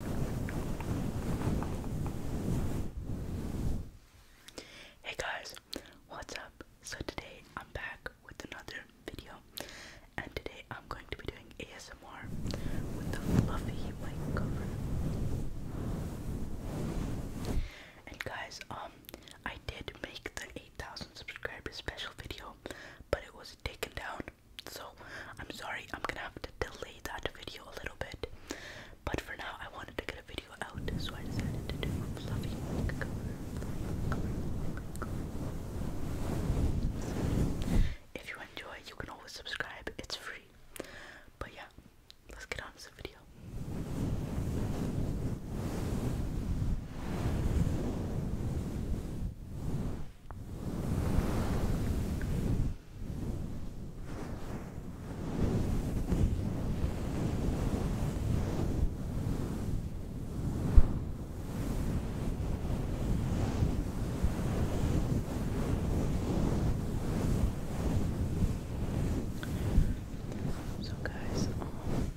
Hey guys, what's up? So today I'm back with another video, and today I'm going to be doing ASMR with the fluffy mic cover. And guys, um, I did make the 8,000 subscribers special video, but it was taken down so I'm sorry, I'm gonna have to delay that video a little bit. But for now, I wanted to get a video out, so I decided to do a fluffy If you enjoy, you can always subscribe, it's free. But yeah, let's get on to the video. So guys, um,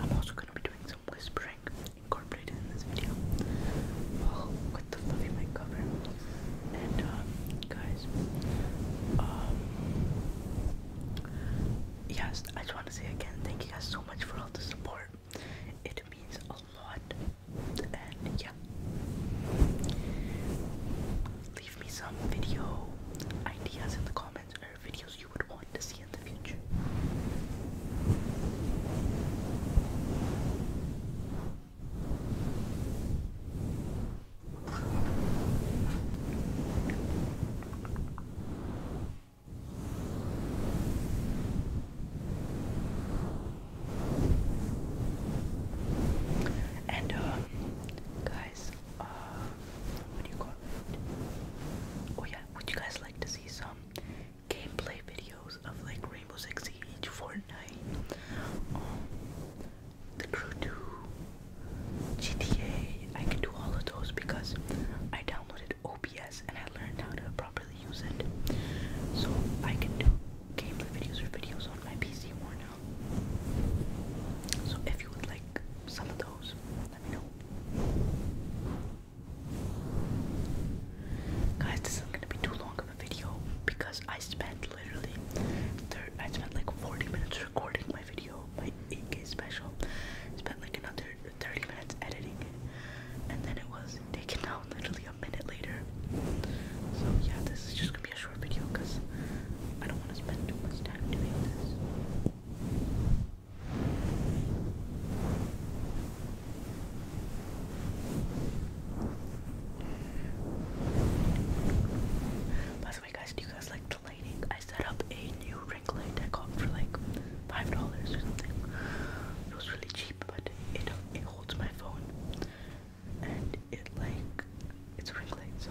I'm also going to be doing some whispering incorporated in this video. Oh, what the fuck am I covering? And, uh, guys, um, yes, I just want to say again, thank you guys so much for all the support. It means a lot. And, yeah. Leave me some video ideas in the comments or videos you would want to see in the future. And um, guys, uh, Oh yeah, would you guys like to see some gameplay videos of like Rainbow Six Siege, Fortnite, um, The Crew 2, GTA. I can do all of those because I downloaded OBS and I learned how to properly use it. So I can do gameplay videos or videos on my PC more now. So if you would like some of those, let me know. Guys, this isn't gonna be too long of a video because I spent literally, I spent like 40 minutes recording my video, my 8K special. Spent like another 30 minutes editing it, and then it was taken out literally a minute later. So yeah, this is just gonna be a short video because I don't want to spend too much time doing this. By the way, guys, do you guys like the I set up a new ring light I got for like five dollars or something. It was really cheap, but it it holds my phone, and it like it's a ring so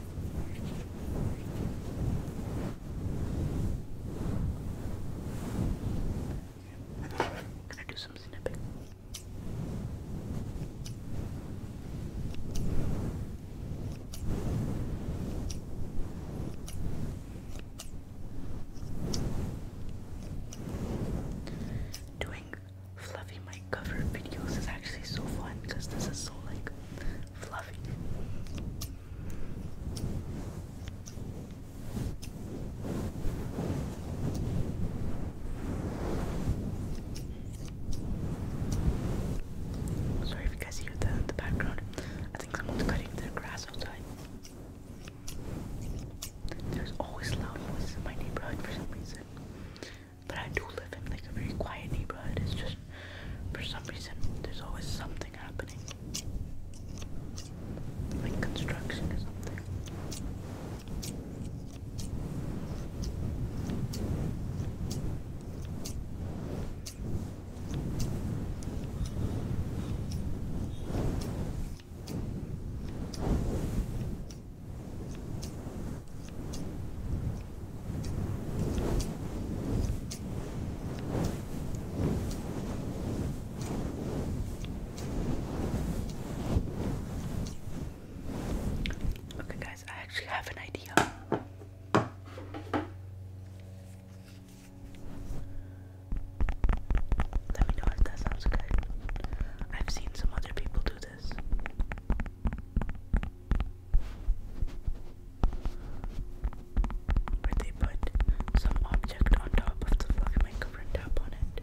Can I do some Doing fluffy mic cover videos is actually so fun because this is so like Sorry if you guys hear the, the background. I think someone's cutting their grass outside. There's always loud voices in my neighborhood for some reason. But I do live in like a very quiet neighborhood. It's just for some reason there's always something happening. Like construction or something. Okay, guys, I actually have an idea. Let me know if that sounds good. I've seen some other people do this where they put some object on top of the fluffy makeover and tap on it.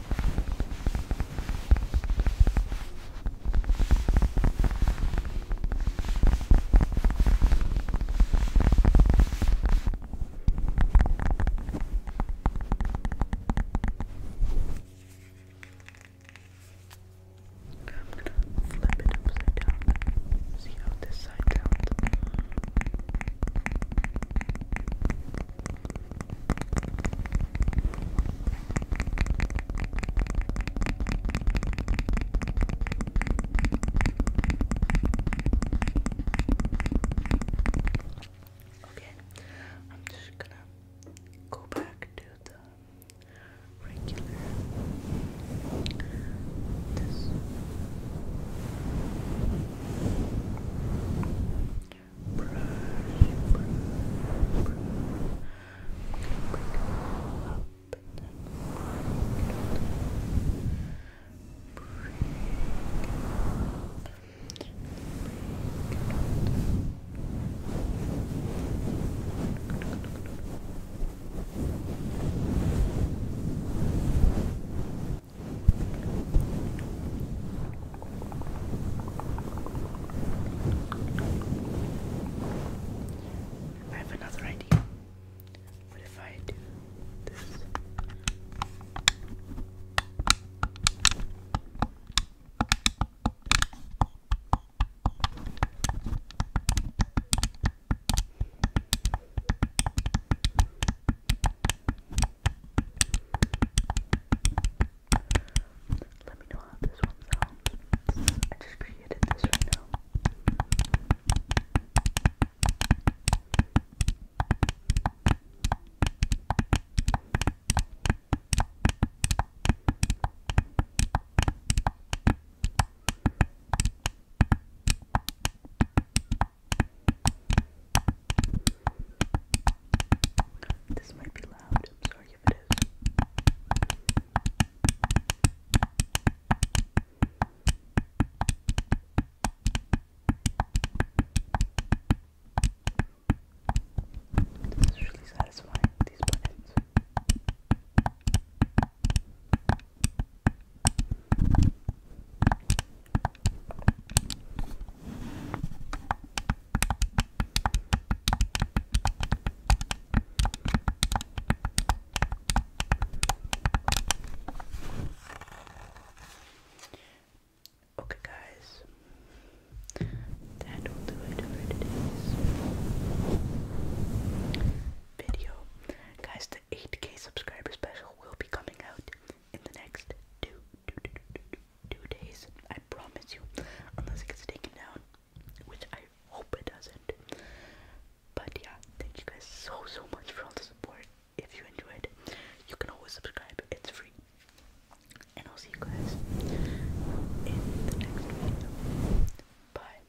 I'm gonna flip it upside down, see how this side sounds. Okay, I'm just gonna go back to the regular brush, brush, brush. Up and then Brush, brush, I have another idea. What if I do this? Let me know how this one sounds. I just created this right now. I this might be loud. I'm sorry if it is. This is really satisfying, these buttons. Okay, guys, that will do it for today's video, guys. The 8K subscriber special will be coming out in the next two, two, two, two, two, two days. I promise you, unless it gets taken down, which I hope it doesn't. But yeah, thank you guys so so much for all the support. If you enjoyed, you can always subscribe. It's free. And I'll see you guys in the next video. Bye.